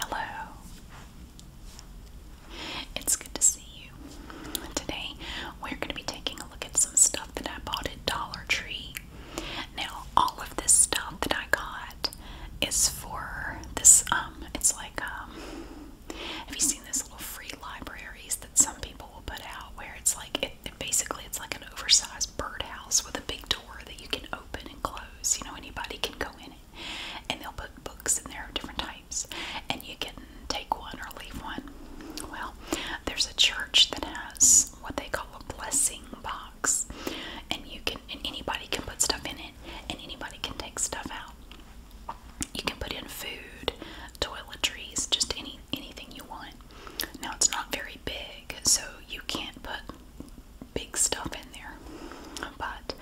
Hello. It's good to see you. Today we're going to be taking a look at some stuff that I bought at Dollar Tree. Now, all of this stuff that I got is for this um it's like um have you seen these little free libraries that some people will put out where it's like it, basically it's like an oversized birdhouse with a big door that you can open and close. You know anybody can go in and they'll put books in there of different types, and you can take one or leave one. Well, there's a church that has what they call a blessing box, and you can and anybody can put stuff in it, and anybody can take stuff out. You can put in food, toiletries, just any anything you want. Now it's not very big, so you can't put big stuff in there. But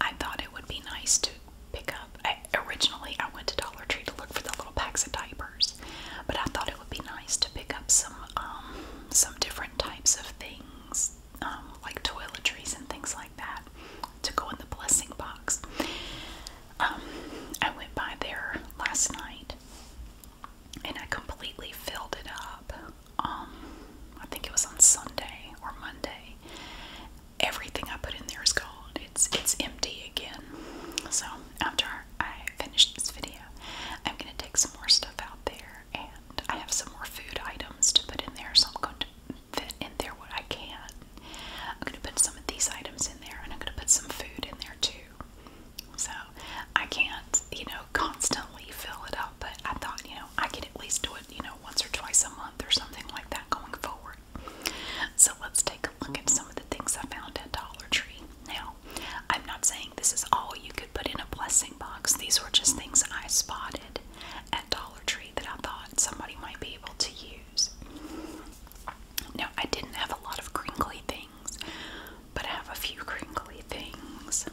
I thought it would be nice to pick up. I, originally, I went to Dollar Tree to look for the little packs of diapers, but I thought it would be nice to pick up some um, some different types of things, um, like toiletries and things like that, to go in the blessing box. Um, I went by there last night, and I completely filled it up um, I think it was on Sunday or Monday. Everything I put in there is gone. It's it's empty again. So after I finish this video, I'm gonna take some more stuff out there, and I have some more food items to put in there. So I'm going to fit in there what I can. I'm gonna put some of these items in there, and I'm gonna put some food in there too. So I can't, you know, constantly fill it up about, but I thought, you know, I could at least do it, you know, once or twice a month or something like that going forward. So let's take a look at some of the things I found at Dollar Tree. Now, I'm not saying this is all you could put in a blessing box. These were just things I spotted at Dollar Tree that I thought somebody might be able to use. Now, I didn't have a lot of crinkly things, but I have a few crinkly things.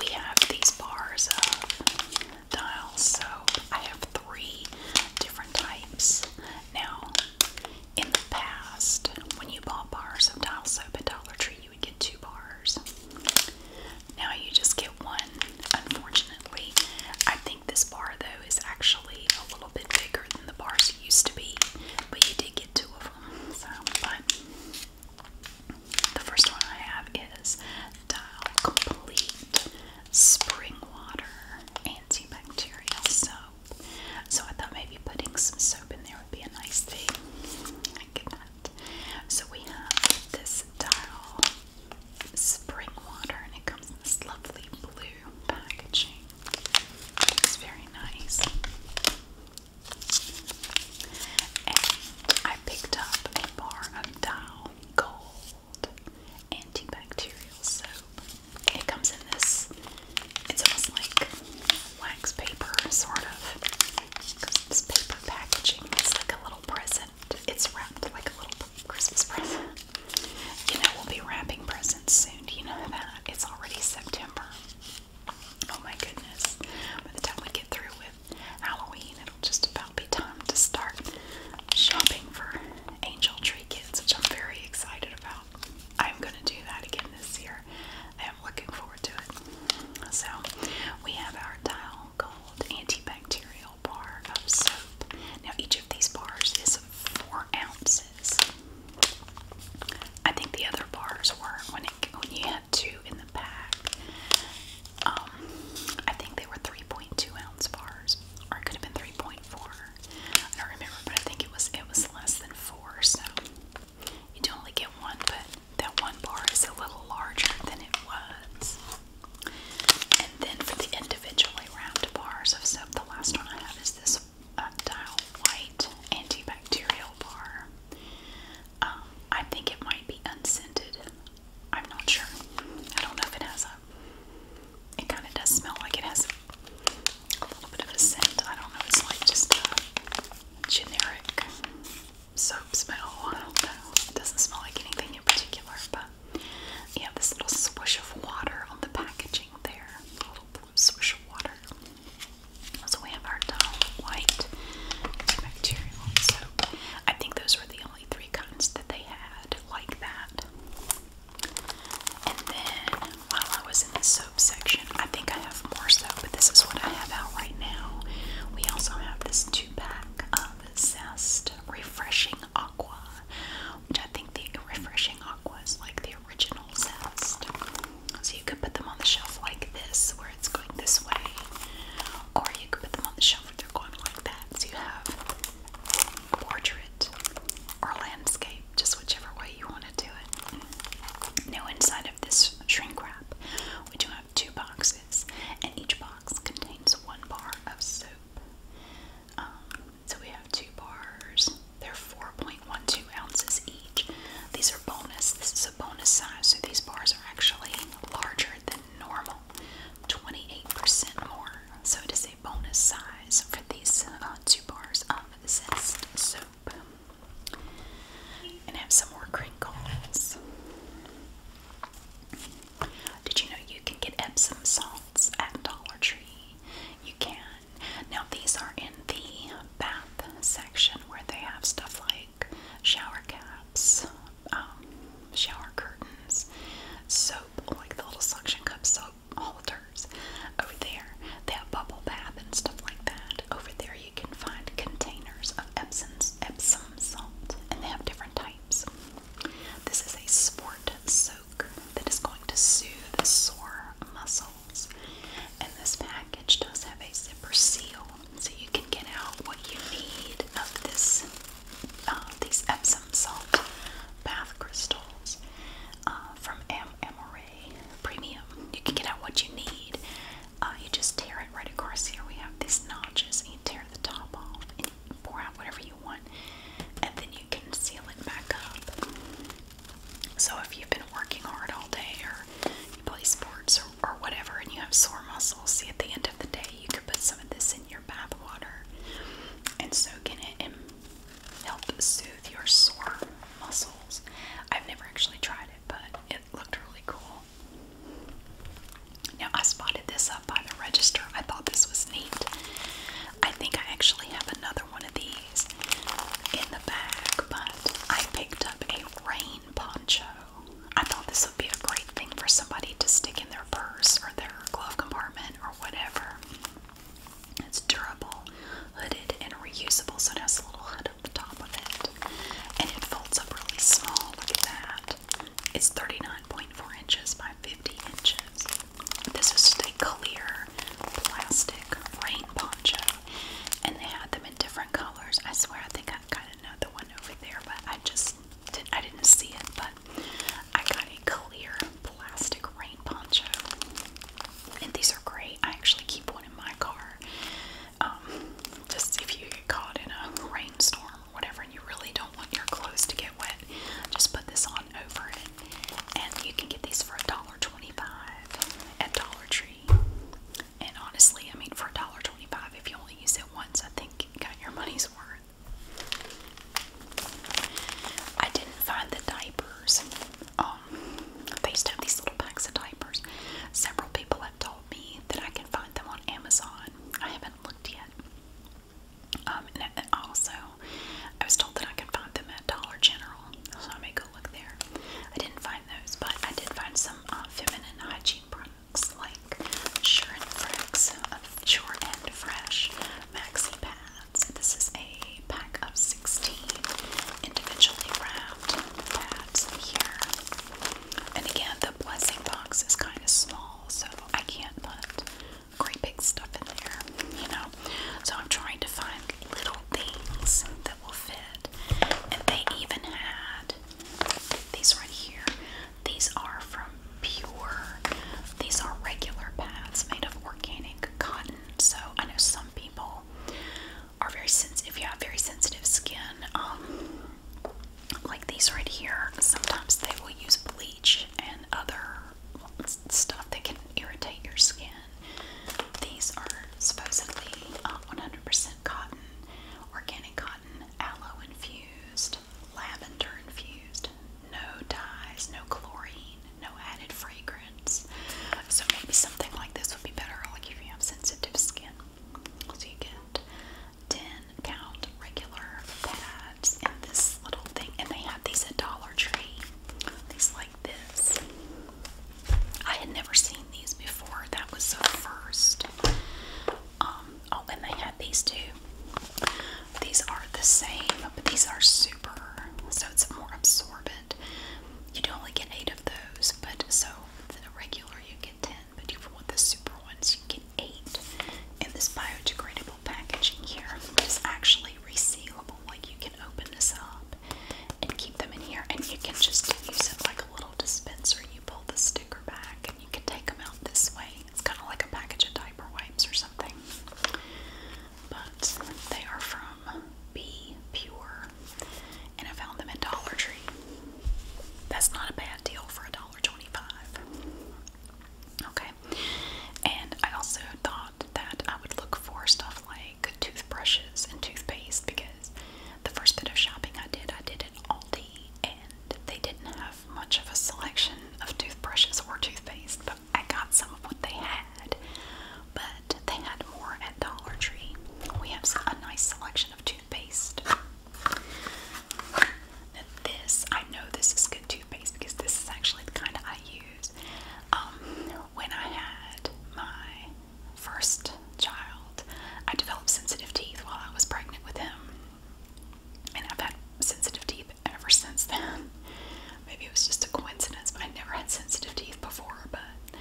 We have these bars of dials, so I have three different types. Now, in the past, when you bought bars of dial soap at Dollar Tree, you would get two bars. Now you just get one, unfortunately. I think this bar, though, is actually a little bit bigger than the bars used to be, but you did so, the first one I have is Dial Complete Spring Water Antibacterial Soap. So I thought maybe putting some soap in there would be a nice thing. So we have this Dial Spring Water, and it comes in this lovely blue packaging. It's very nice. I picked up a bar of Dial Gold antibacterial soap. It comes in this, it's almost like wax paper, sort of. Because it's paper packaging, it's like a little present. It's wrapped like a little Christmas present. You know, we'll be wrapping presents soon. Do you know that? It's already September. Oh my goodness. By the time we get through with Halloween, it'll just about be time to start shopping for angel tree kits, which I'm very excited about. I'm going to do that again this year. I am looking forward to it. So, we have our Dial Gold antibacterial bar of soap. Now, each of these bars is four ounces. I think the other bars were when when you had two in the pack. Um, I think they were 3.2 ounce bars, or it could have been 3.4. I don't remember, but I think it was it was less than four. So you do only get one, but that one bar is a little larger than it was. And then for the individually wrapped bars of soap, the last one I have is this Dial White antibacterial bar. Um, I think it might be unscented. I'm not sure. I don't know if it has a. It kind of does smell like it has a little bit of a scent. I don't know. It's like just generic soap smell. I don't know. It doesn't smell like anything in particular, but you have this little swish of water on the packaging there. little blue swish of water. So we have our dull white antibacterial soap. I think those were the only three kinds that they had like that. And then while I was in the soap section, I think I have more soap, but this is what I have out right now. We also have this two pack of Zest Refreshing Aqua, which I think the Refreshing Aqua is like the original so you could put them on the shelf like this, where it's going this way, or you could put them on the shelf where they're going like that. So you have portrait or landscape, just whichever way you want to do it. Now, inside of this shrink wrap, we do have two boxes, and each box contains one bar of soap. Um, so we have two bars they're 4.12 ounces each. These are bonus. This is a bonus size, so these bars are actually larger than normal, 28% more. So it is a bonus size for these uh, two bars of Zest soap. And have some more crinkles. Did you know you can get Epsom salts at Dollar Tree? You can. Now, these are in the bath section where they have stuff like shower caps, um, shower curtains, soap, like the little suction cup soap holders over there. They have bubble bath and stuff like that. Over there, you can find containers of Epsom's, Epsom salt, and they have different types. This is a sport soak that is going to soothe sore muscles. And this package does have a zipper seal, so you can get out what you need of this uh, these Epsom salt bath crystals uh, from Amore Premium. You can get out what you need. Uh, you just tear it right across here. We have these notches, and you tear the top off and pour out whatever you want, and then you can seal it back up. So if you've been working hard all day or you play sports or, whatever and you have sore muscles, see at the end of the day you could put some of this in your bath water and soak in it and help soothe your sore muscles. I've never actually tried it, but it looked really cool. Now I spotted this up by the register. I thought this was neat. I think I actually have another one of these in the bag, but I picked up a rain poncho. I thought this would be a great thing for somebody to stick in their purse or their glove compartment or whatever. It's durable, hooded, and reusable, so it has a little hood at the top of it. And it folds up really small. Look at that. It's 39.4 inches by 50 inches. This is just a clear plastic rain poncho. And they had the different colors. I swear I think I got another one over there, but I just didn't I didn't see it, but I got a clear plastic rain poncho. And these are great. I actually keep one in my car. Um, just if you get caught in a rainstorm or whatever and you really don't want your clothes to get wet, just put this on over it. And you can get these for a dollar twenty-five at Dollar Tree. And honestly, I mean, for $1.25, if you only use it once, I think you got your money's worth. I didn't find the diapers. Um, they used to have these little packs of diapers. Several people have told me that I can find them on Amazon. I haven't looked yet. Um, and also, I was told that I could find them at Dollar General, so I may look there. I didn't find those, but I did find some uh, feminine hygiene products like Sure and Frex, uh, Sure and Fresh Maxi Pads. This is a pack of 16 individually wrapped pads here. And again, the blessing box is kind of small, so I can't put great big stuff in there, you know. So I'm trying to find little things that will fit. And they even had these right here. These are from Pure. These are regular pads made of organic cotton. So I know some people are very sensitive. If you have very sensitive skin, um, like these right here, sometimes they will use bleach and other stuff that can irritate your skin these are supposedly 100% um, cotton, organic cotton, aloe infused, lavender infused, no dyes, no chlorine, no added fragrance. So maybe something like this would be better, like if you have sensitive skin. So you get 10 count regular pads in this little thing, and they have these at Dollar Tree. These like I had never seen these before. That was the first. Um, oh, and they had these too. These are the same, but these are super, so it's more absorbent. You do not only get eight of those, but so the regular you get ten, but if you want the super ones, you get eight. And this biodegradable packaging here is actually resealable, like you can open this up up and keep them in here. And you can just use it like a little dispenser. You pull the sticker back and you can take them out this way. It's kind of like a package of diaper wipes or something. But they are from Be Pure. And I found them at Dollar Tree. That's not a bad deal for $1.25. Okay. And I also thought that I would look for stuff like Good toothbrushes and toothpaste because the first bit of shopping I did, I did at Aldi and they didn't have much of a selection of toothbrushes or toothpaste, but I got some of what they had. But they had more at Dollar Tree. We have a nice selection of toothpaste. this, I know this is good toothpaste because this is actually the kind I use. Um, when I had my first child, I developed sensitive teeth while I was pregnant with him. And I've had sensitive teeth ever since then. Maybe it was just a coincidence, but I never had sensitive teeth before, but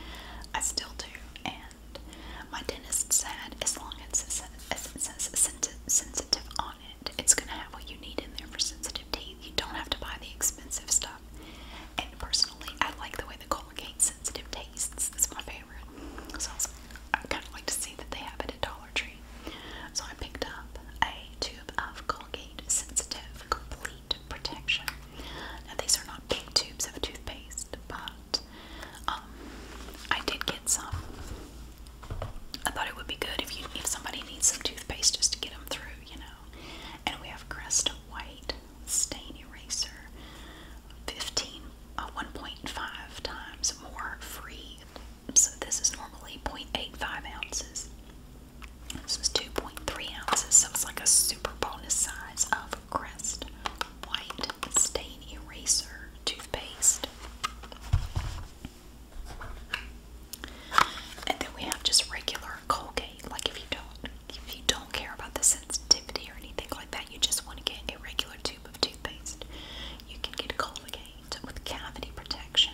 I still do. And my dentist said, as long as it says, as it says sensi sensitive on it, it's going to have what you need in there for sensitive teeth. You don't have to buy the expensive stuff. And personally, I like the way the Colgate Sensitive tastes. It's my favorite. So I, was, I kind of like to see that they have it at Dollar Tree. So I picked up a tube of Colgate Sensitive Complete Protection. Now these are not big tubes of toothpaste, but um, I did get some. I thought it would be good if you if somebody needs some toothpaste just to get them through, you know. And we have Crest White stain eraser 15 a uh, 1.5 times more free so this is normally 0.85 ounces this is 2.3 ounces so it's like a super bonus size of crest white stain eraser toothpaste and then we have just regular colgate like if you don't if you don't care about the sensitivity or anything like that, you just want to get a regular tube of toothpaste. You can get Colgate with cavity protection.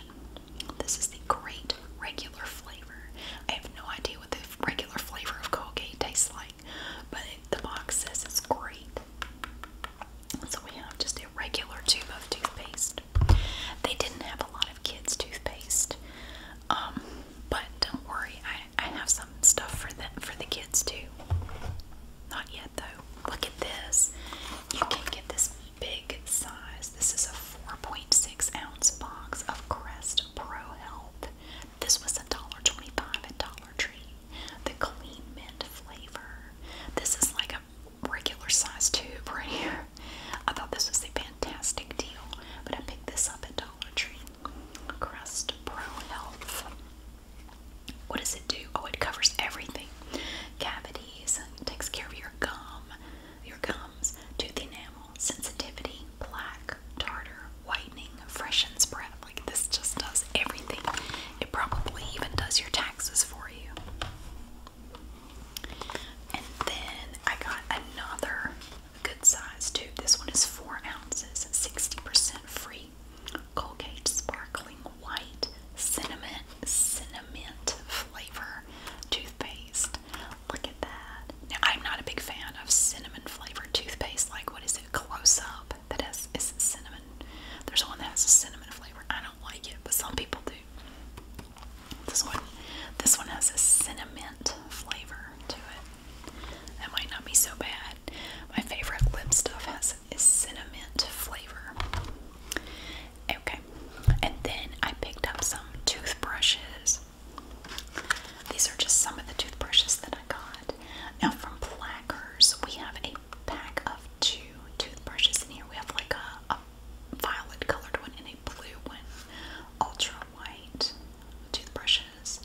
This is the great regular flavor. I have no idea what the regular flavor of Colgate tastes like, but the box says it's great. So we have just a regular tube of toothpaste. They didn't have a lot of kids' toothpaste, um, but don't worry, I have some stuff for the for the kids too. Not yet though. Look at this. You can get this big size. This is a 4.6 ounce box of Crest Pro Health. This was a $1.25 at Dollar Tree. The clean mint flavor. This is like a regular size tube right here. I thought this was a fantastic deal, but I picked this up at Dollar Tree. Crest Pro Health. What does it do? Oh, it covers everything. Cavities, takes care of your gum, your gums, tooth enamel, sensitivity, plaque, tartar, whitening, freshens breath. Like this just does everything. It probably even does your taxes for you. And then I got another good size too. This one is four ounces, 60% free. Colgate Sparkling White Cinnamon Cinnamon flavor toothpaste. Look at that. Now I'm not a big fan of cinnamon flavored toothpaste. Like what is it? Close up that has is cinnamon. There's one that has a cinnamon flavor. I don't like it, but some people do. This one, this one has a cinnamon flavor to it. That might not be so bad. My favorite lip stuff has a cinnamon flavor. Okay, and then I picked up some toothbrushes. These are just some of the toothbrushes that I got. Now from Plackers, we have a pack of two toothbrushes in here. We have like a, a violet colored one and a blue one. Ultra white toothbrushes,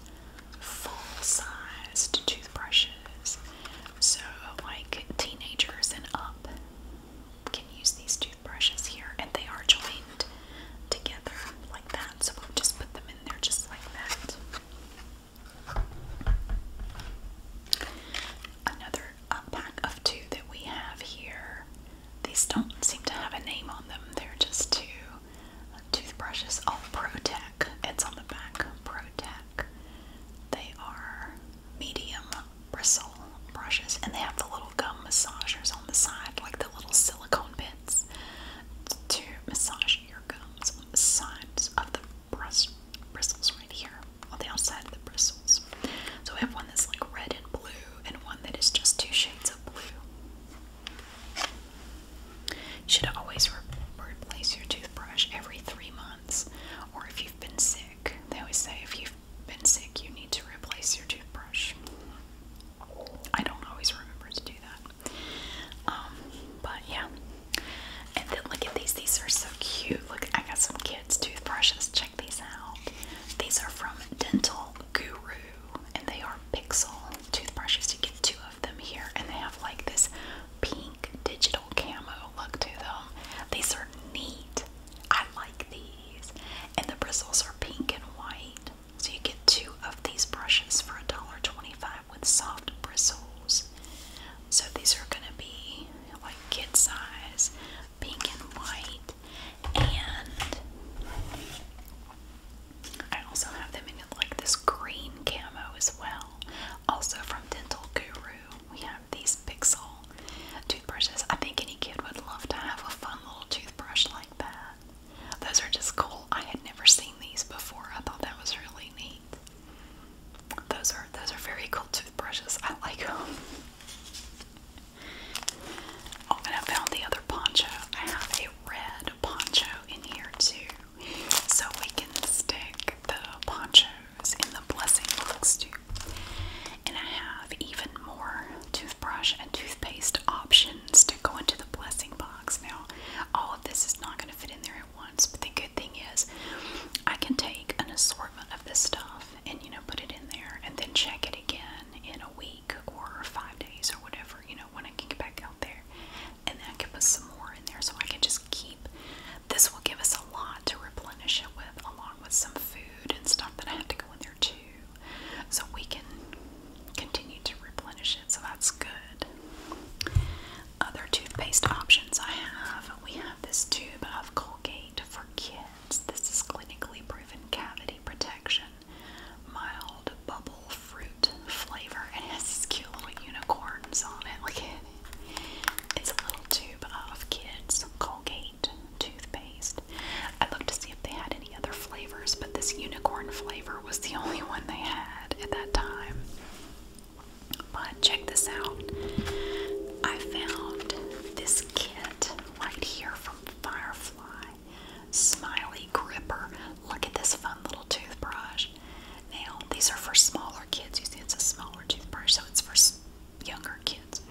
full sized toothbrushes. So, like teenagers and up can use these toothbrushes here, and they are joined together like that. So, we'll just put them in there just like that. Another uh, pack of two that we have here these don't seem to have a name on them. They're just two toothbrushes. Oh, ProTech. It's on the back. ProTech. They are medium bristle brushes, and they have the little gum massagers on the side, like the little silicone bits to massage your gums on the sides of the bristles right here, on the outside of the bristles. So we have one that's like red and blue, and one that is just two shades of blue. You should always replace your toothbrush every three months, or if you've been sick, they always say if you've been sick, you need to replace your toothbrush. I don't always remember to do that, um, but yeah. And then look at these; these are so cute. Look, I got some kids' toothbrushes. Check these out. These are from Dental Guru, and they are Pixel toothbrushes. To get two of them here, and they have like this pink digital camo look to them. These are neat. I like these, and the bristles are pink and white. So you get two of these brushes for $1.25 with soft bristles. So these are gonna be like kid size, pink and white, and I also have them in like this green camo as well. Also from Dental Guru, we have these Pixel toothbrushes. I think any kid would love to have a fun little toothbrush like that. Those are just cool. I had never seen these before. I thought that was really neat. Those are those are very cool toothbrushes. I like them. Oh, and found the other poncho. I have a red a poncho in here too, so we can stick the ponchos in the blessing box too. And I have even more toothbrush and toothpaste options to go into the blessing box. Now, all of this is not going to fit in there at once, but the good thing is I can take an assortment of this stuff and, you know, put it in there and then check it again in a week or five days or whatever, you know, when I can get back out there. And then I can some more in there so I can just keep. This will give us a lot to replenish it with, along with some food and stuff that I have to go in there too. So we can continue to replenish it. So that's good. Other toothpaste options I have we have this tube of Colgate for kids. This is clinically proven cavity protection mild bubble fruit flavor. and It has these cute little unicorns on it. Like it, it's a little tube of kids Colgate toothpaste. I looked to see if they had any other flavors, but this unicorn flavor was the only one they had at that time. But check this out. I found this kit right here from Firefly. Smiley gripper. Look at this fun little toothbrush. Now, these are for smaller kids. You see, it's a smaller toothbrush, so it's for younger kids.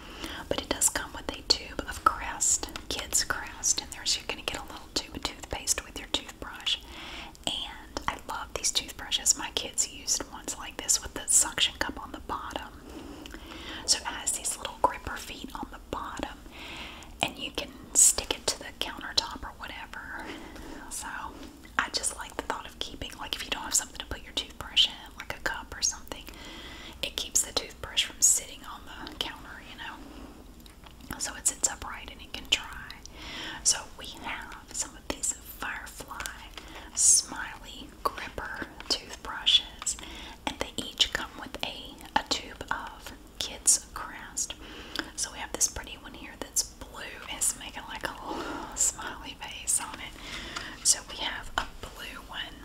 But it does come with a tube of Crest, kids' Crest, and there's you're going to get a little tube of toothpaste with your toothbrush. And I love these toothbrushes. My kids used ones like this with the suction cup on the bottom. So it has these little gripper feet on the bottom and you can stick it to the countertop or whatever. So I just like the thought of keeping, like, if you don't have something to put your toothbrush in, like a cup or something, it keeps the toothbrush from sitting on the counter, you know. So it sits upright and it can dry. So we have some of these Firefly Smiley Gripper toothbrushes and they each come with a, a tube of kids crest. So we have this pretty one here that's blue. It's making like a little smiley face on it. So we have a blue one.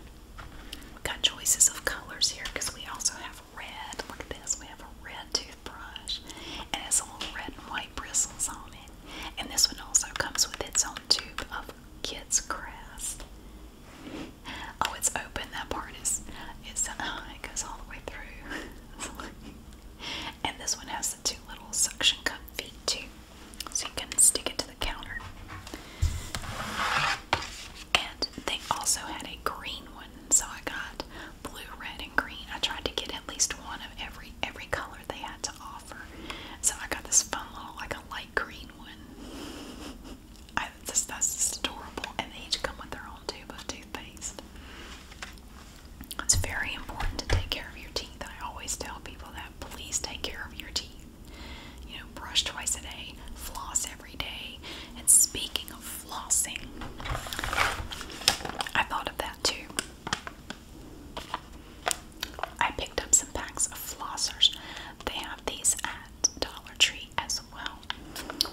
We've got choices of colors here because we also have red. Look at this. We have a red toothbrush and it's all red and white bristles on it. And this one also comes with its own tube of kids crest. oh, it's open. That part is it's uh, it goes all the way through. and this one has the two little suction cup feet too, so you can stick it to the counter. And they also had a green one, so I got blue, red, and green. I tried to get at least one of every every color they had to offer. So I got this fun little like a light green one. this, that's just adorable. And they each come with their own tube of toothpaste. It's very important to take care of your teeth. I always tell people that please take care of your teeth. You know, brush twice a day, floss every day. And speaking of flossing, I thought of that too. I picked up some packs of flossers. They have these at Dollar Tree as well.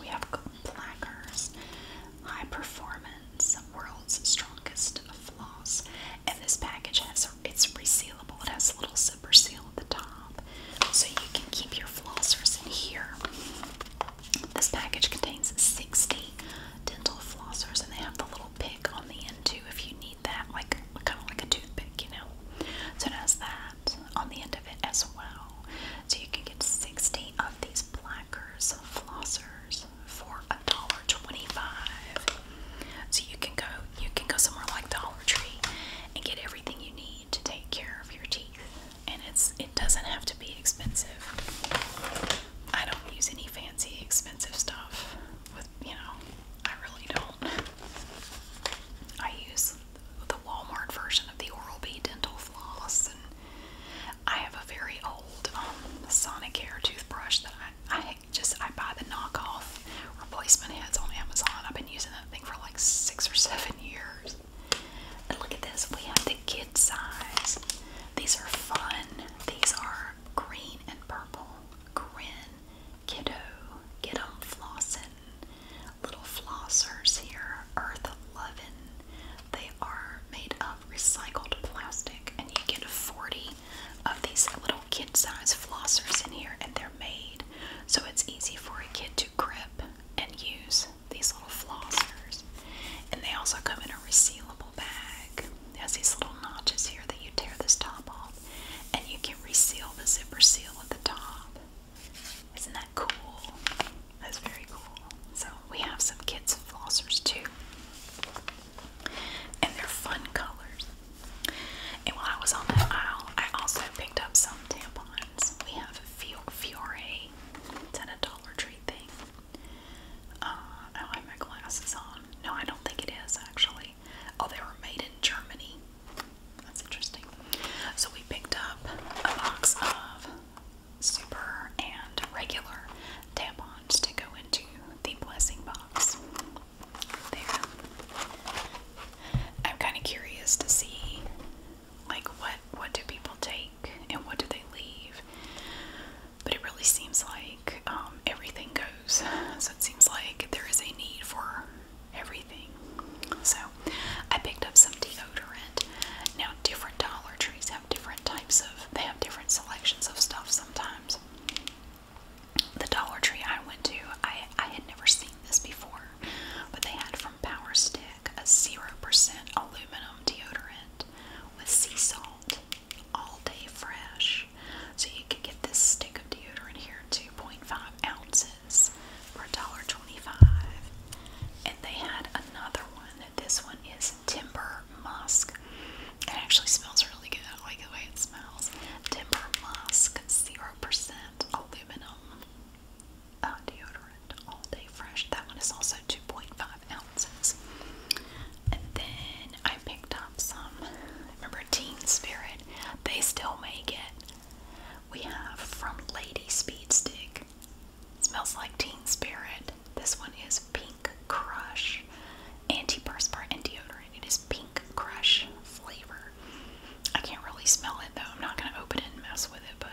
We have Plackers, High Performance, World's Strongest Floss, and this package has it's resealable. It has a little zipper seal at the top, so you can keep your flossers in here. This package contains 60 dental flossers, and they have the little pick on the end too, if you need that, like kind of like a toothpick, you know. So it has that hat on the end of it as well. So you can get 60 of these blackers, flossers for a dollar twenty-five. So you can go you can go somewhere like Dollar Tree and get everything you need to take care of your teeth. And it's it doesn't have to be expensive. I don't use any fancy expensive stuff with you know, I really don't. I use the Walmart version of the Oral-B dental floss, and I have a very old um, Sonicare toothbrush that I, just I buy the knockoff replacement heads on Amazon. I've been using that thing for like six or seven years. And look at this, we have the kid size. These are fun. These are green and purple. Grin, kiddo, get 'em flossin' little flossers here, Earth Lovin'. They are made of recycled plastic, and you get 40 of these little kid size flossers in here, and they're made so it's easy for a kid to grip and use these little flossers. And they also come in a resealable bag. It has these little notches here that you tear this top off, and you can reseal the zipper seal at the top. Isn't that cool? That's very cool. So we have some kids flossers too. And they're fun colors. And while I was on that aisle, I also picked up some tampons. We have Fiore. Fiore. It's a Dollar Tree thing. Uh, I have my glasses on. No, I don't think it is actually. Oh, they were made in Germany. That's interesting. So we picked up a box of super and regular tampons to go into the blessing box. There. I'm kind of curious to see like what what do people take and what do they leave? But it really seems like um, everything goes. So it seems like there is a need for everything. So I picked up some deodorant. Now different Dollar Trees have different types of they have different selections of stuff sometimes. The Dollar Tree I went to, I I had never seen this before, but they had from Power Stick a 0% aluminum deodorant with sea salt all day fresh. So you could get this stick of deodorant here, 2.5 ounces pieces for $1.25. And they had another one. This one is Timber Musk. It actually smells really good. I like the way it smells. Timber Musk 0% aluminum uh, deodorant all day fresh. That one is also 2.5 ounces. And then I picked up some, remember Teen Spirit? They still make it. We have from Lady Speedstick. Smells like Teen Spirit. This one is Pink Crush. anti Antiperspirant and deodorant. It is Pink Crush flavor. I can't really smell it though. I'm not going to open it and mess with it, but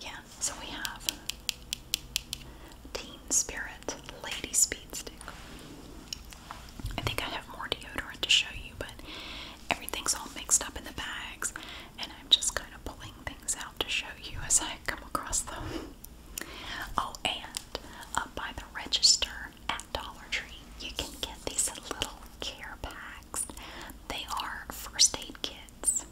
yeah. So we have Teen Spirit Lady Speedstick. I think I have more deodorant to show you, but everything's all mixed up in the bags and I'm just kind of pulling things out to show you as I come across them. Oh, and up uh, by the register at Dollar Tree, you can get these little care packs. They are first aid kits.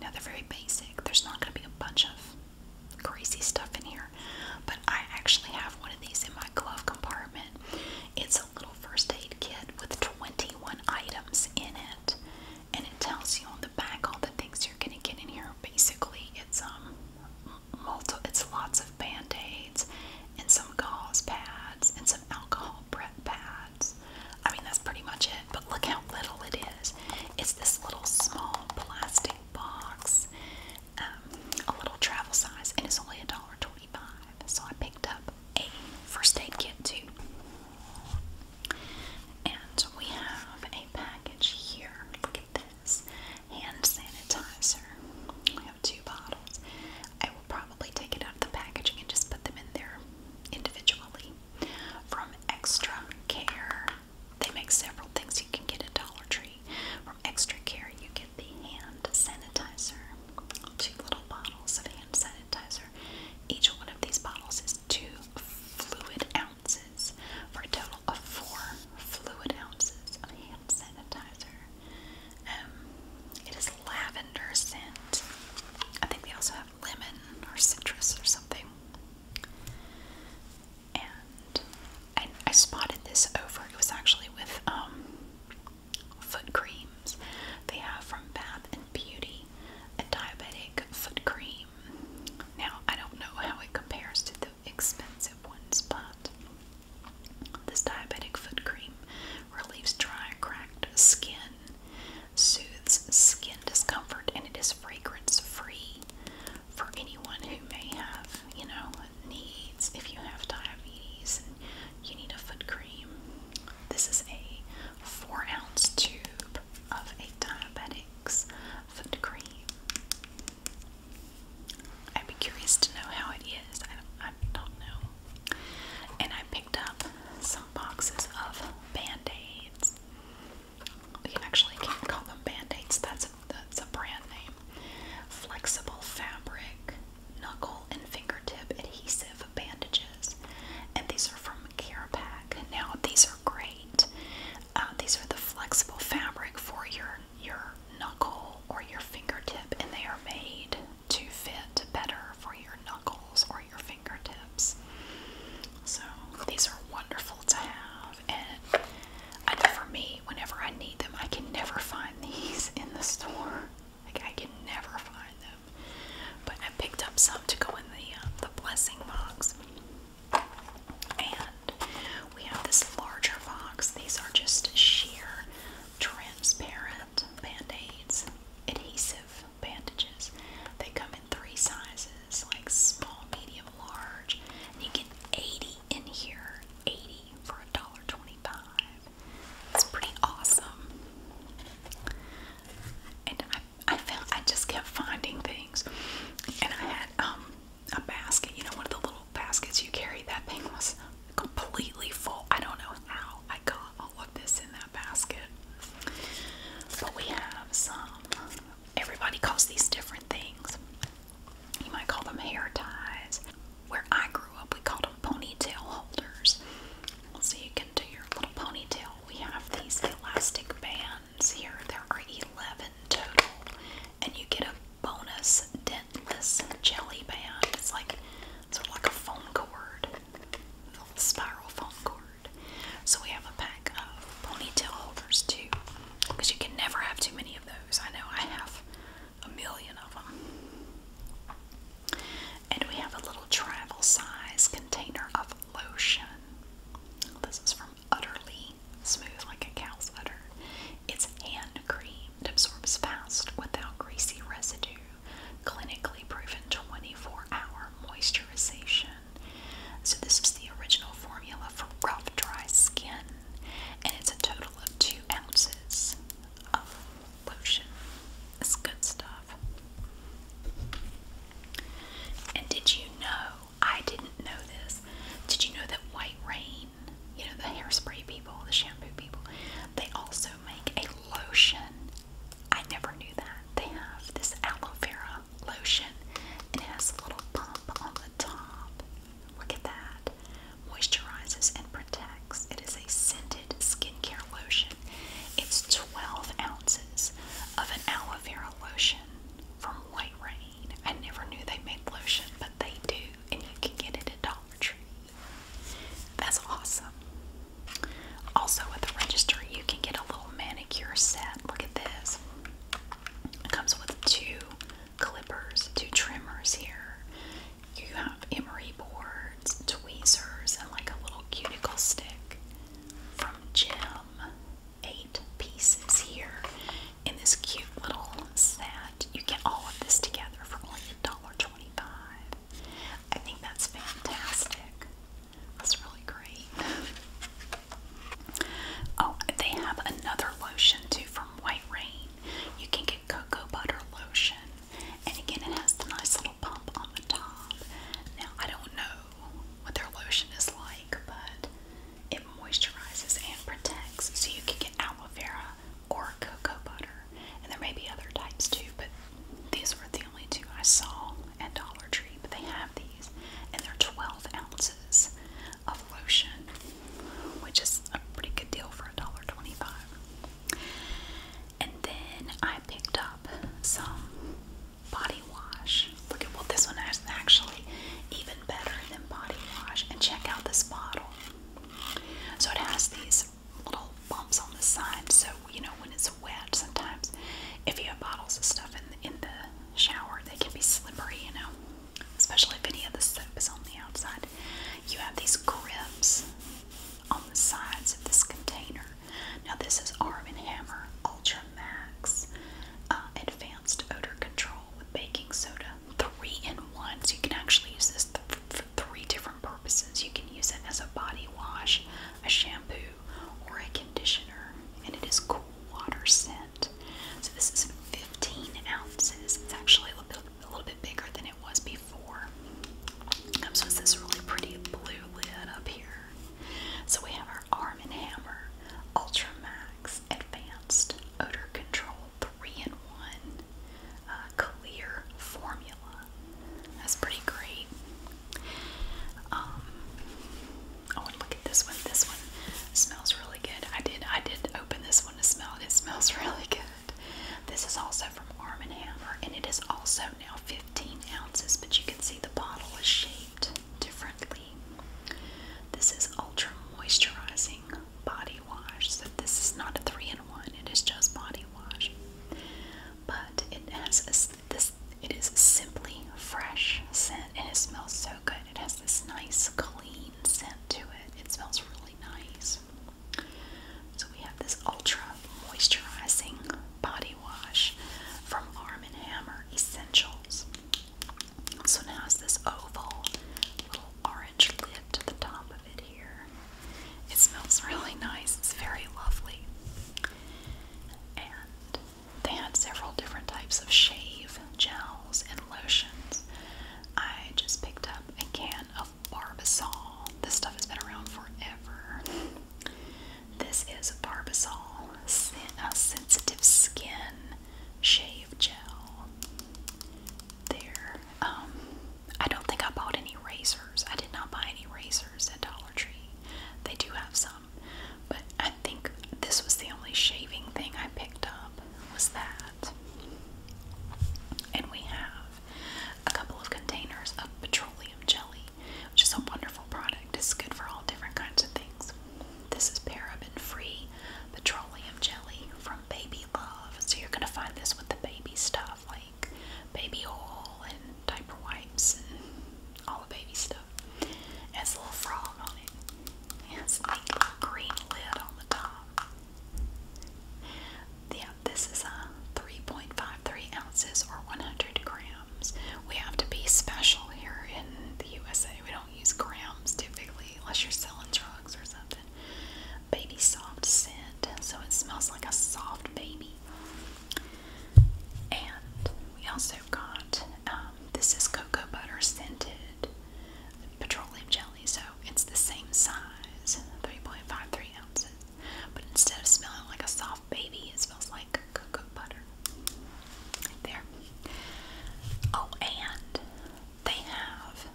Now, they're very basic, there's not going to be a bunch of crazy stuff in here, but I actually have one of these in my glove compartment. It's a little first aid kit with 21 items in it, and it tells you on the back all the things you're gonna get in here. Basically, it's um, multi, it's lots of band aids and some gauze pads and some alcohol prep pads. I mean, that's pretty much it. But look how little it is. It's this little small plastic box, um, a little travel size, and it's only a dollar twenty-five so I picked up a first aid kit too. And we have a package here. Look at this hand sanitizer. We have two bottles. I will probably take it out of the packaging and just put them in there individually. From Extra Care, they make several things you can get at Dollar Tree. From Extra Care, you get the hand sanitizer, two little bottles of hand sanitizer sanitizer. Each one of these bottles is two fluid ounces for a total of four fluid ounces of hand sanitizer. Um, it is lavender scent. I think they also have lemon or citrus or something. And I, spotted this over. It was actually with um, foot creams. They have from Bath and Beauty a diabetic foot cream. Now, I don't know how it compares to the expensive ones, but this diabetic foot cream relieves dry, cracked skin, soothes skin discomfort, and it is fragrance free for anyone who may have, you know, needs if you have diabetes you need a foot cream. This is a four ounce tube of a diabetic's foot cream. I'd be curious to know how it is. I, don't know. And I picked up some boxes of band-aids. We can actually call them band-aids. That's that's a brand name. Flexible fabric knuckle and fingertip adhesive bandages, and these are from CarePack. Now these are great. Uh, these are the flexible fabric for your your knuckle or your fingertip, and they are made to fit better for your knuckles or your fingertips. So these are wonderful to have, and I know for me, whenever I need them, I can never find these in the store. Like I can never find them. But I picked up some to go in the uh, the blessing box. And we have this larger box. These are just sheer transparent band-aids, adhesive bandages. They come in three sizes, like small, medium, large. And you get 80 in here. 80 for a dollar 20. It's pretty awesome. And I, I just kept finding things. And I had um, a basket, you know, one of the little baskets you carry. That thing was completely full. I don't know how I got all of this in that basket. But we have some. Everybody calls these different things. You might call them hair ties. Where I grew up, we called them ponytail holders. So you can do your little ponytail. We have these elastic bands here. There are 11 total. And you get a bonus dentless jelly band. It's like sort of like a phone cord. spiral foam cord. So we have a pack of ponytail holders too. Because you can never have too many of those. I know I have a million of them. And we have a little travel size container of lotion. This is from Utterly Smooth Like a Cow's Udder. It's hand creamed, absorbs fast without greasy residue. Clinically proven 24 hour moisturization. So, this is the original formula for rough, dry skin, and it's a total of two ounces of lotion. It's good stuff. And did you know? I didn't know this. Did you know that White Rain, you know, the hairspray people, the shampoo people, they also make a lotion? I never knew that. They have this aloe vera lotion, and it has a little pump on the top. Look at that. Moisturizes and it is a scented skincare lotion. It's 12 ounces of an aloe vera lotion from White Rain. I never knew they made lotion, but they do, and you can get it at Dollar Tree. That's awesome. Also, at the register, you can get a little manicure set. Look at this. It comes with two clippers, two trimmers here, you have emery boards, tweezers, and like a little cuticle stick from Jim. Eight pieces here in this cute little set. You get all of this together for only $1.25. I think that's fantastic. That's really great. Oh, they have another lotion too from White Rain. You can get cocoa butter lotion, and again, it has the nice little pump on the top. Now, I don't know what their lotion is like, but it moisturizes and protects. So you can get aloe vera or cocoa butter. And there may be other types too, but these were the only two I saw at Dollar Tree. But they have these, and they're 12 ounces of lotion, which is a pretty good deal for a dollar twenty-five. And then I picked up some body wash. Look at what this one has actually even better than body wash. And check out this bottle. So it has these little bumps on the side. So you know when it's wet, sometimes if you have bottles of stuff in in the shower, they can be slippery. You know, especially if any of the soap is on the outside. You have these grips on the sides of this container. Now this is Arm & Hammer Ultra Max uh, Advanced Odor Control with baking soda. Three in one, so you can actually use this for three different purposes. You can use it as a body wash, a shampoo, or a conditioner, and it is cool water scent. So this is 15 ounces. It's actually a little bit bigger than it was before before. Comes um, with this really pretty blue lid up here. So we have our Arm & Hammer Ultra Max Advanced Odor Control 3-in-1 uh, Clear Formula. That's pretty great. Um, I want to look at this one. This one smells really good. I did. I did open this one to smell. It smells really good. This is also from Arm & Hammer, and it is also now 15 ounces, but you can see the bottle is shaped differently. This is Ultra Moisturizing Body Wash, so this is not a 3-in-1, it is just body wash. But it has this, it is simply fresh scent, and it smells so good. It has this nice, clean scent to it. It smells really nice. So we have this ultra moisturizing body wash from Arm & Hammer Essentials. So now it's this oval little orange lid to the top of it here. It smells really nice. It's very lovely. And they had several different types of shave gels and lotions. I just picked up a can of of Barbasol. This stuff has been around forever. This is Barbasol a uh, Sensitive Skin Shave Gel. There. Um, I don't think I bought any razors. I did not buy any razors at Dollar Tree. They do have some, but I think this was the only shaving thing I picked up was that. And we have a couple of containers of petroleum jelly, which is a wonderful product. It's good for all different kinds of things. This is paraben-free petroleum jelly from Baby Love. So you're gonna find this with the baby stuff like baby oil and diaper wipes and all the baby stuff. It's a little frog on it. It's has a green lid on the top yeah, this is a uh, 3.53 ounces or 100 grams. We have to be special here in the USA. We don't use grams typically unless you're selling drugs or something. Baby soft scent, so it smells like a soft baby. And we also got um, this is cocoa butter scented petroleum jelly, so it's the same size 3.53 ounces. But instead of smelling like a soft baby, it smells like cocoa butter. there. Oh, and they have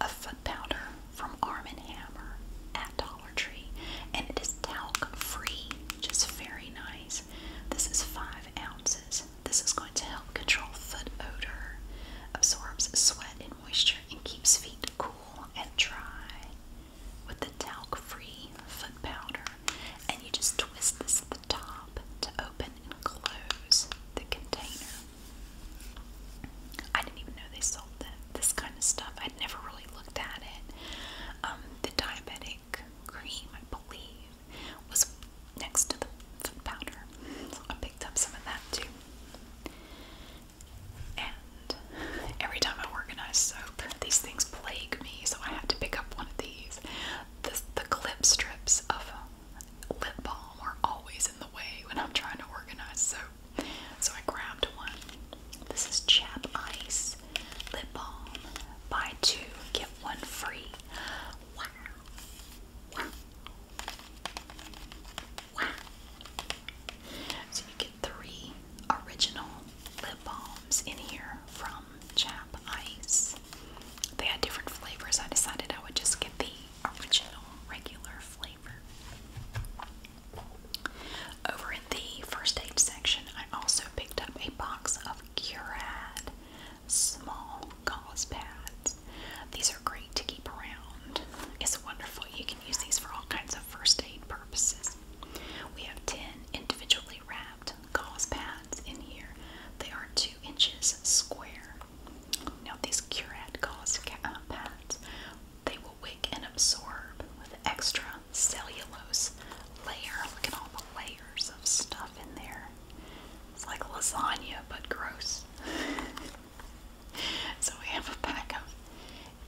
a foot powder from Arm & Hammer at Dollar Tree, and it is talc-free, which very nice. This is five ounces. This is going to help control foot odor, absorbs sweat and moisture, and keeps feet cool and dry with the talc-free foot powder, and you just twist this at the top to open and close the container. I didn't even know they sold this kind of stuff. I'd never really looked at it. Um, the diabetic cream, I believe, was next to the foot powder, so I picked up some of that too. And every time I organize soap, these things plague me, so I had to pick up one of these. The, the clip strips of lip balm are always in the way when I'm trying to organize soap, so I grabbed one. This is Chap Ice Lip Balm. Buy two, get one free. wow. So you get three original lip balms in here from Chap Ice. They had different flavors. I decided I would just get the original regular flavor. Over in the first aid section, I also picked up a box of Curad small gauze pads. These are great to keep around. It's wonderful. You can use these for all kinds of first aid we have 10 individually wrapped gauze pads in here. They are 2 inches square. Now these Curat gauze uh, pads, they will wick and absorb with an extra cellulose layer. Look at all the layers of stuff in there. It's like lasagna, but gross. so we have a pack of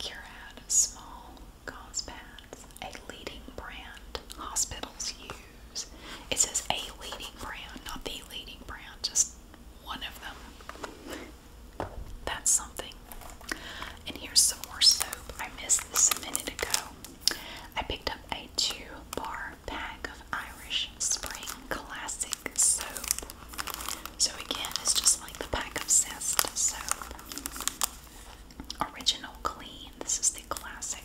Curad small gauze pads, a leading brand hospitals use. It says a leading brand, not the leading brand, just one of them. That's something. And here's some more soap. I missed this a minute ago. I picked up a two bar pack of Irish Spring Classic soap. So again, it's just like the pack of Zest soap. Original Clean. This is the classic.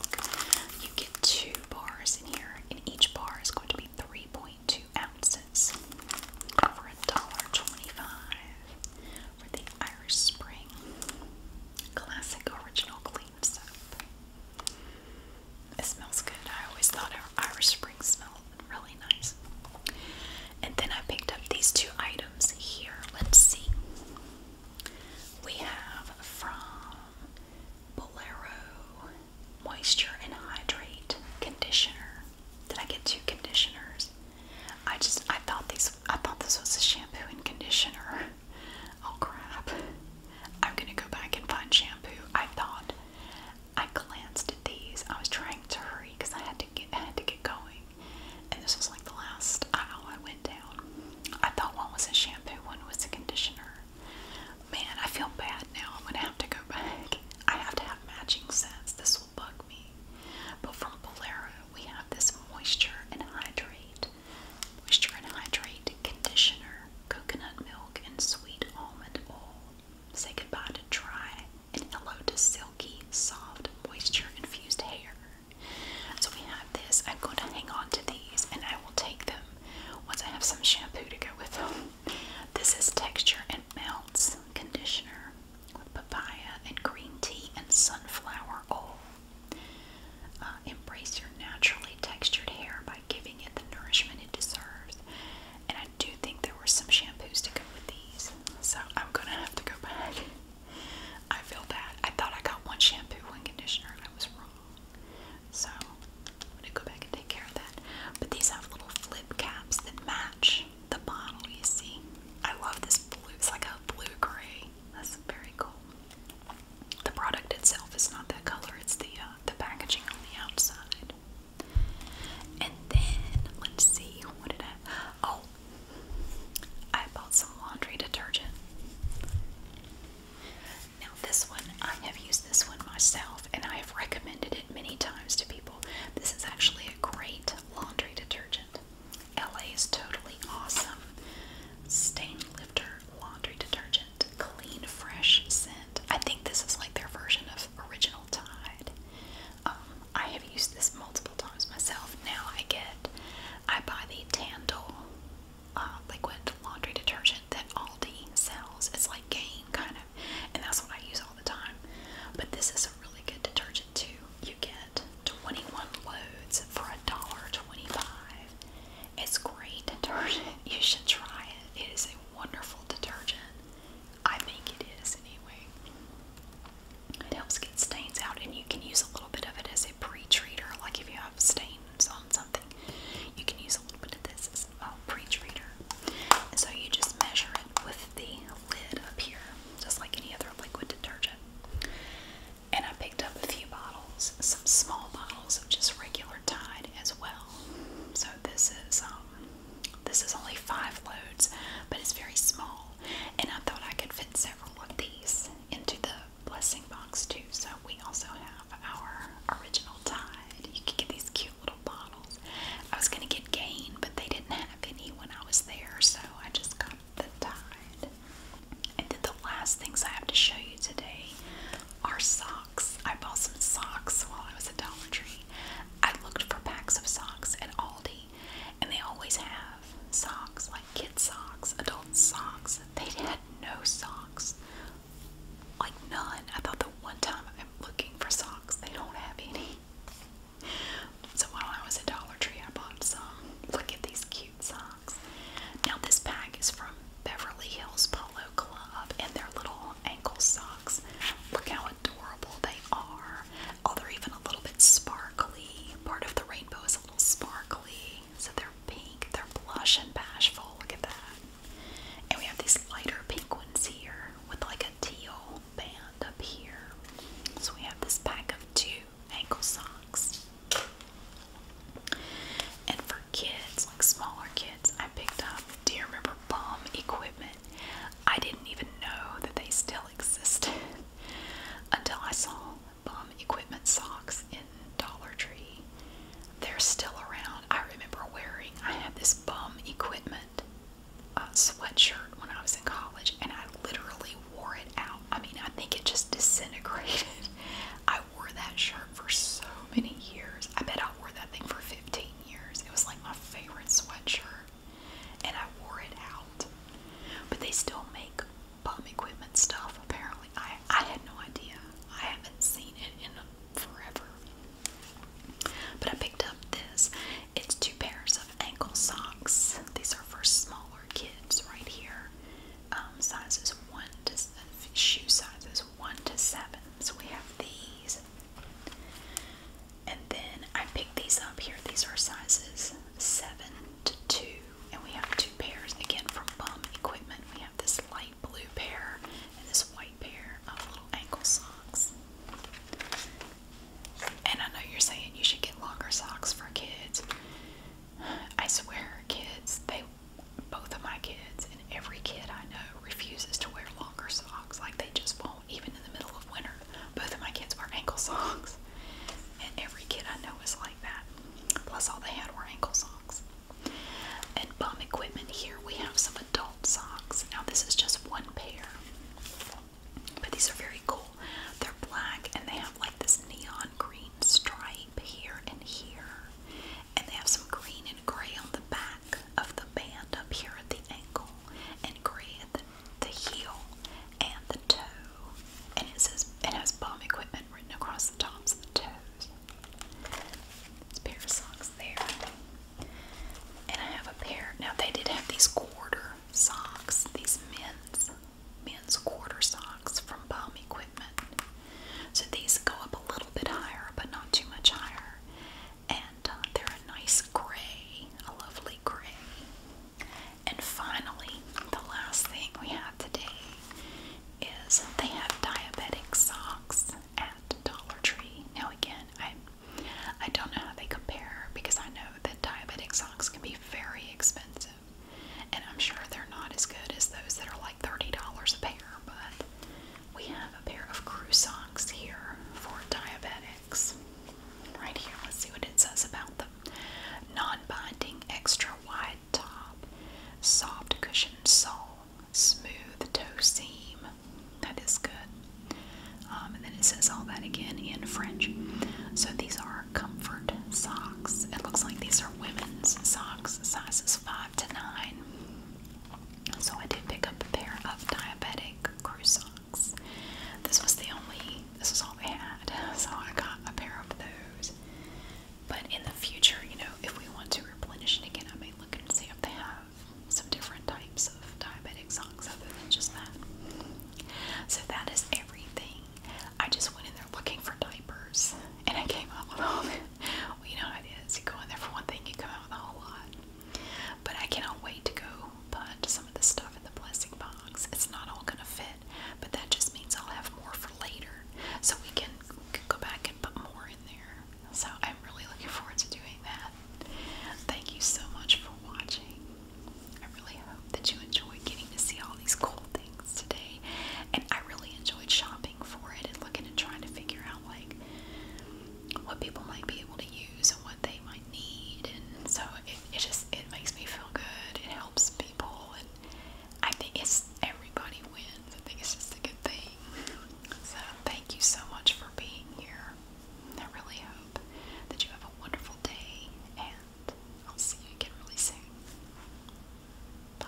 You get two bars in here, and each bar is going to be 3.2 ounces for twenty-five. for the Irish Spring Classic Original Clean Soap. It smells good. I always thought Irish Spring smelled really nice. And then I picked up these two items here. Let's see. We have from Bolero Moisture and Hydrate Conditioner. Did I get two conditioners? I just I thought these I thought this was a shampoo and conditioner. Oh crap. I'm gonna go back and find shampoo. I thought I glanced at these. I was trying to hurry because I had I had to get going. And this was like the last aisle I went down. I thought one was a shampoo, one was a conditioner. Man, I feel bad now. I'm gonna have to go back. I have to have matching sets. This will bug me. But from Bolero, we have this moisture and hydrate, moisture and hydrate conditioner, coconut milk, and sweet almond oil. Say goodbye to dry and hello to silky, soft, moisture-infused hair. So we have this. I'm going to hang on to these, and I will take them once I have some shampoo to go with them. This is Texture and Melts Conditioner with papaya and green tea and sunflower oil. Uh, embrace your naturally textured hair by giving it the nourishment it deserves. And I do think there were some shampoos to go with these. So I'm gonna have to go back. I feel bad. I thought I got one shampoo, and conditioner, and I was wrong. So I'm gonna go back and take care of that. But these have little flip caps that match the bottle, you see. I love this blue, it's like a blue gray. That's very cool. The product itself is not that color, it's the uh, the packaging on the outside. And then let's see, what did I? Oh, I bought some laundry detergent. Now this one, I have used this one myself, and I have recommended it many times to people. This is actually a great laundry detergent. LA is totally awesome. Stain lifter laundry detergent, clean fresh scent. I think this is like their version of original Tide. Um, I have used this multiple times myself. Now I get, I buy the Tandle uh, liquid laundry detergent that Aldi sells. It's like Gain kind of, and that's what I use all the time. But this is a really good detergent too. You get 21 loads for a dollar 25. It's great detergent. You should try it. It is a wonderful detergent. I think it is anyway. It helps get stains out, and you can use a little bit of it as a pre-treater. Like if you have stains on something, you can use a little bit of this as a pre-treater. And so you just measure it with the lid up here, just like any other liquid detergent. And I picked up a few bottles, some small bottles of just regular Tide as well. So this is um, this is only five loads, but it's very small. And I thought I could fit several of these into the blessing box too. So we also have our original Tide. You can get these cute little bottles. I was gonna get Gain, but they didn't have any when I was there, so I just got the Tide. And then the last things I have to show you today are socks. I bought some socks while I was at Dollar Tree. I looked for packs of socks at Aldi me. And they always have socks, like kid socks, adult socks. They had no socks, like none. I thought the one time I've been looking for socks, they don't have any. So while I was at Dollar Tree, I bought some. Look at these cute socks. Now this pack is from Beverly Hills Polo Club, and they're little ankle socks. Look how adorable they are. Oh, they're even a little bit sparkly. Part of the rainbow is a little sparkly. So they're pink, they're blush and bashful. Look at that. And we have these lighter pink ones here with like a teal band up here. So we have this pack of two ankle socks. And for kids, like smaller kids, I picked up, do you remember bomb equipment? I didn't even know that they still existed until I saw bum equipment socks in Dollar Tree. They're still around. I remember wearing, I had this bum equipment uh, sweatshirt when I was in college and I literally wore it out. I mean, I think it just disintegrated. I wore that shirt for so many years. I bet I wore that thing for 15 years. It was like my favorite sweatshirt and I wore it out. But they still make bomb equipment stuff apparently. I, I had no idea. I haven't seen it in forever. But I picked up this. It's two pairs of ankle socks. These are for smaller kids right here. Um, sizes 1 to, shoe sizes 1 to 7. So we have these. And then I picked these up here. These are sizes 7 to 2. And we have two pairs. Again, from Bum Equipment, we have this light blue pair and this white pair of little ankle socks. And I know you're saying you should get longer socks for kids. I swear, kids, they both of my kids and every kid I know refuses to wear longer socks. Like they just won't even in the middle of winter, both of my kids wear ankle socks. And every kid I know is like that. Plus, all they had were ankle socks. And bum equipment here, we have some adult socks. Now, this is just one pair, but these are very cool. They're black and they have like this neon green stripe here and here. And they have some green and gray on the back of the band up here at the ankle, and gray at the the heel, and the toe. And it says it has bomb equipment written across the tops of the toes. It's pair of socks there. And I have a pair. Now they did have these quarter socks, these men's men's quarter socks from bomb equipment. So these go up a little bit higher, but not too much higher and uh, they're a nice gray, a lovely gray. And finally, the last thing we have today is they have diabetic socks at Dollar Tree. Now again, I I don't know how they compare because I know that diabetic socks can be very expensive. And I'm sure they're not as good as those that are like $30 a pair, but we have a pair of crew socks here for diabetic. Right here, let's see what it says about them. Non-binding, extra-wide top, soft cushion sole, smooth toe seam. That is good. Um, and then it says all that again in French. So these are comfort socks. It looks like these are women's socks, sizes five to nine. So I did pick up a pair of diabetic croissant box. This was the only, this was all they had, so I got a pair of those. But in the future, you know, if we want to replenish it again, I may look and see if they have some different types of diabetic socks other than just that. So that is everything. I just went in there looking for diapers and I came up with all that. Well, you know what it is. You go in there for one thing, you come out with a whole lot. But I cannot wait to go put some of the stuff in the blessing box. It's not all gonna fit, but that just means I'll have more for later. So we can, we can go back and put more in there. So I'm really looking forward to doing that. Thank you so much for watching. I really hope that you enjoyed getting to see all these cool things today. And I really enjoyed shopping for it and looking and trying to figure out like what people might be able to use and what they might need and so it, just it makes me feel good it helps people and I think it's everybody wins I think it's just a good thing so thank you so much for being here I really hope that you have a wonderful day and I'll see you again really soon bye